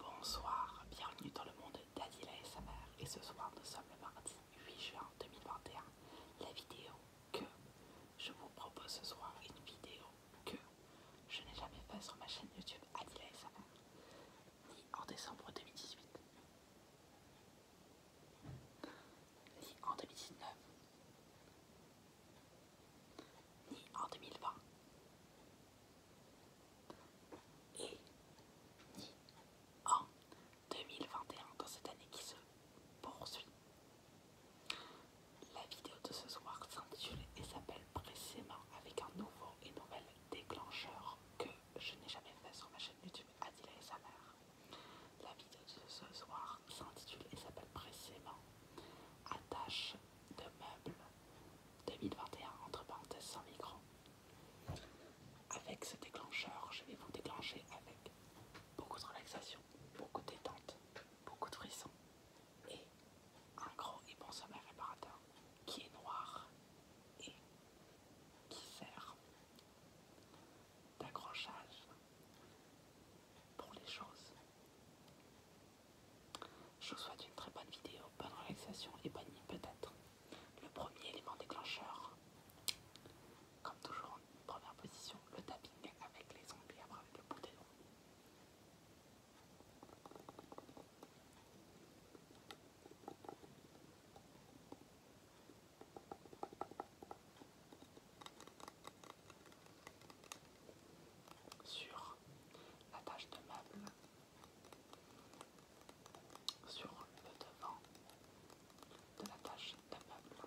Bonsoir, bienvenue dans le monde d'Adila et sa et ce soir nous sommes le mardi 8 juin 2021. La vidéo que je vous propose ce soir est une vidéo que je n'ai jamais faite sur ma chaîne YouTube Adila et sa ni en décembre 2018, ni en 2019, ni en 2020 et ni en 2021 dans cette année qui se poursuit. La vidéo de ce soir s'intitule et s'appelle précisément avec un nouveau et nouvel déclencheur que je n'ai jamais fait sur ma chaîne YouTube Adila et sa mère. La vidéo de ce soir s'intitule et s'appelle précisément Attache de meubles 2021 entre parenthèses sans micro. Avec ce déclencheur, je vais vous déclencher avec beaucoup de relaxation, beaucoup de détente, beaucoup de frissons et un gros et bon sommeil réparateur qui est noir et qui sert d'accrochage pour les choses je vous souhaite une très bonne vidéo, bonne relaxation et bonne nuit peut-être. Le premier élément déclencheur, comme toujours en première position, le tapping avec les ongles et après avec le bout la tâche de meuble sur le devant de la tâche de meuble.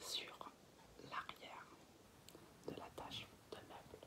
sur l'arrière de la tâche de meuble.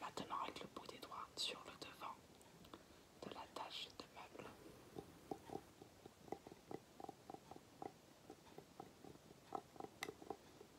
Maintenant avec le bout des doigts sur le devant de la tâche de meuble.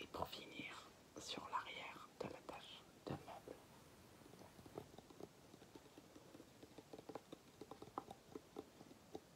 Et pour finir, sur l'arrière de la tâche de meuble.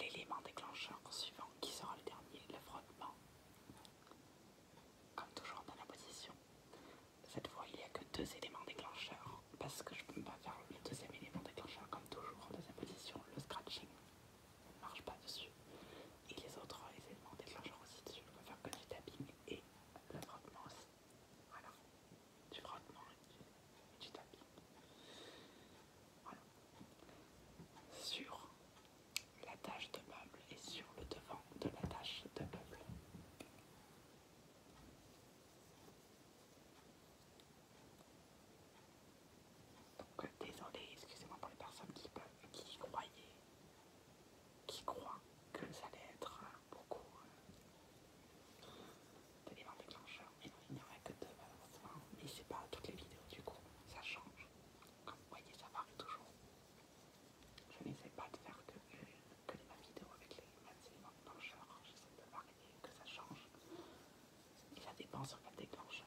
L'élément déclencheur suivant qui sera le dernier, le frottement. Comme toujours dans la position, cette fois il n'y a que deux éléments déclencheurs parce que je peux pas faire le deuxième élément déclencheur comme toujours en deuxième position, le scratching ne marche pas dessus et les autres éléments déclencheurs aussi dessus, je peux faire que du tapping et le frottement aussi, voilà, du frottement et du, tapping, voilà. Sur la tâche de meuble et sur le devant de la tâche de meuble. Donc euh, désolé, excusez-moi pour les personnes qui, croyaient, qui croient que ça allait être euh, beaucoup euh, d'éléments d'éléments déclencheurs. Mais non, il n'y en aurait que deux malheureusement. Et c'est pas toutes les vidéos du coup, ça change. Comme vous voyez, ça varie toujours. Je n'essaie pas de faire que, les mêmes vidéos avec les éléments déclencheurs, de que ça change. Et ça dépend sur quel déclencheur.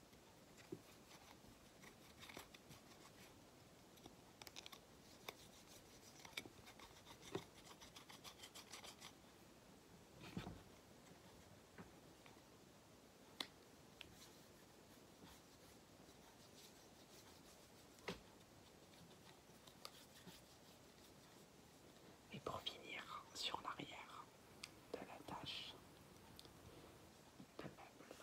Et pour finir sur l'arrière de la tâche de meuble,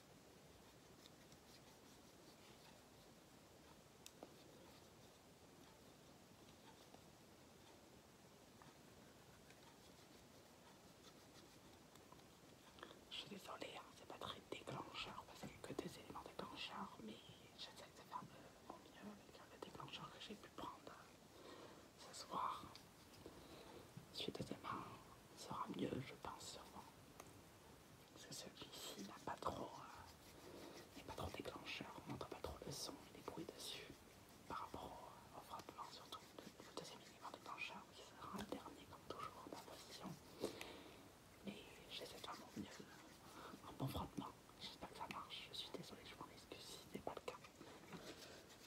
Je suis désolée, hein, c'est pas très déclencheur parce qu'il n'y a que des éléments déclencheurs, mais j'essaie de faire mon mieux avec le déclencheur que j'ai pu prendre euh, ce soir. Celui de sera mieux, je pense sûrement. Parce que celui-ci n'a euh, pas trop, déclencheur, on n'entend pas trop le son et les bruits dessus par rapport au, frottement, frappement, surtout le, deuxième élément déclencheur qui sera le dernier, comme toujours, en position. Mais j'essaie de faire mon mieux, un bon frottement, J'espère que ça marche. Je suis désolée, je m'en excuse si ce n'est pas le cas.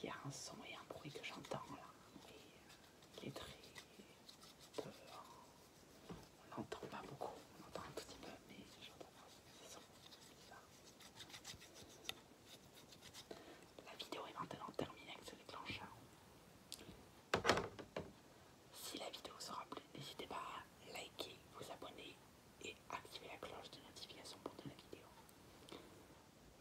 Il y a un son et un bruit que j'entends là. Et il est très On l'entend pas beaucoup. On entend un tout petit peu, mais j'entends pas. C'est bizarre. La vidéo est maintenant terminée avec ce déclencheur. Si la vidéo vous aura plu, n'hésitez pas à liker, vous abonner et activer la cloche de notification pour de la vidéo.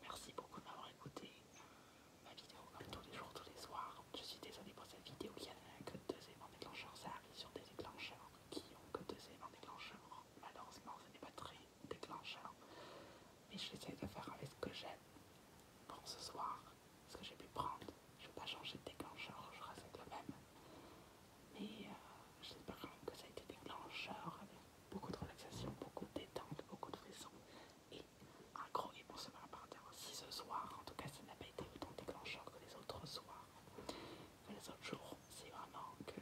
Merci beaucoup d'avoir écouté euh, ma vidéo comme tous les jours, tous les soirs. Je suis désolée pour cette vidéo qui n'a que deux éléments déclencheurs, ça arrive sur des déclencheurs qui ont que deux éléments déclencheurs. Malheureusement, ce n'est pas très déclencheur, mais je j'essaie de faire avec ce que j'ai pour ce soir, ce que j'ai pu prendre. Je ne vais pas changer de déclencheur, je reste le même. Mais euh, j'espère quand même que ça a été déclencheur avec beaucoup de relaxation, beaucoup de détente, beaucoup de raison et un gros émotionnel par partir. Si ce soir, en tout cas, ça n'a pas été autant déclencheur que les autres soirs les autres jours, c'est vraiment que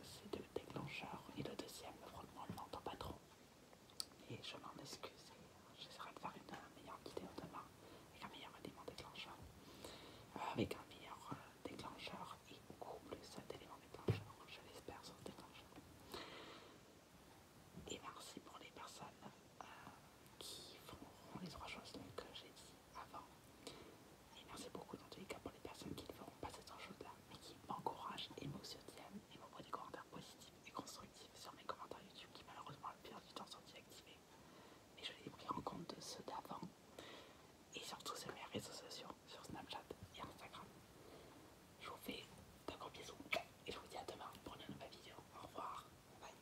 ces deux déclencheurs et le deuxième, franchement, on ne l'entend pas trop. Et je m'en excuse j'essaierai de faire une meilleure vidéo demain avec un meilleur élément déclencheur. Euh, avec un meilleur euh, déclencheur et beaucoup plus d'éléments déclencheurs, je l'espère, sur déclencheur. Et merci pour les personnes euh, qui font les trois choses que j'ai dit avant. Et merci beaucoup dans tous les cas pour les personnes qui ne feront pas cette chose-là, mais qui m'encouragent et me soutiennent et des commentaires positifs et constructifs sur mes commentaires YouTube qui, malheureusement, le pire du temps sont inactivés. Mais je les ai pris en compte de ceux d'avant et surtout sur mes réseaux sociaux, sur Snapchat et Instagram. Je vous fais de gros bisous et je vous dis à demain pour une nouvelle vidéo. Au revoir. Bye.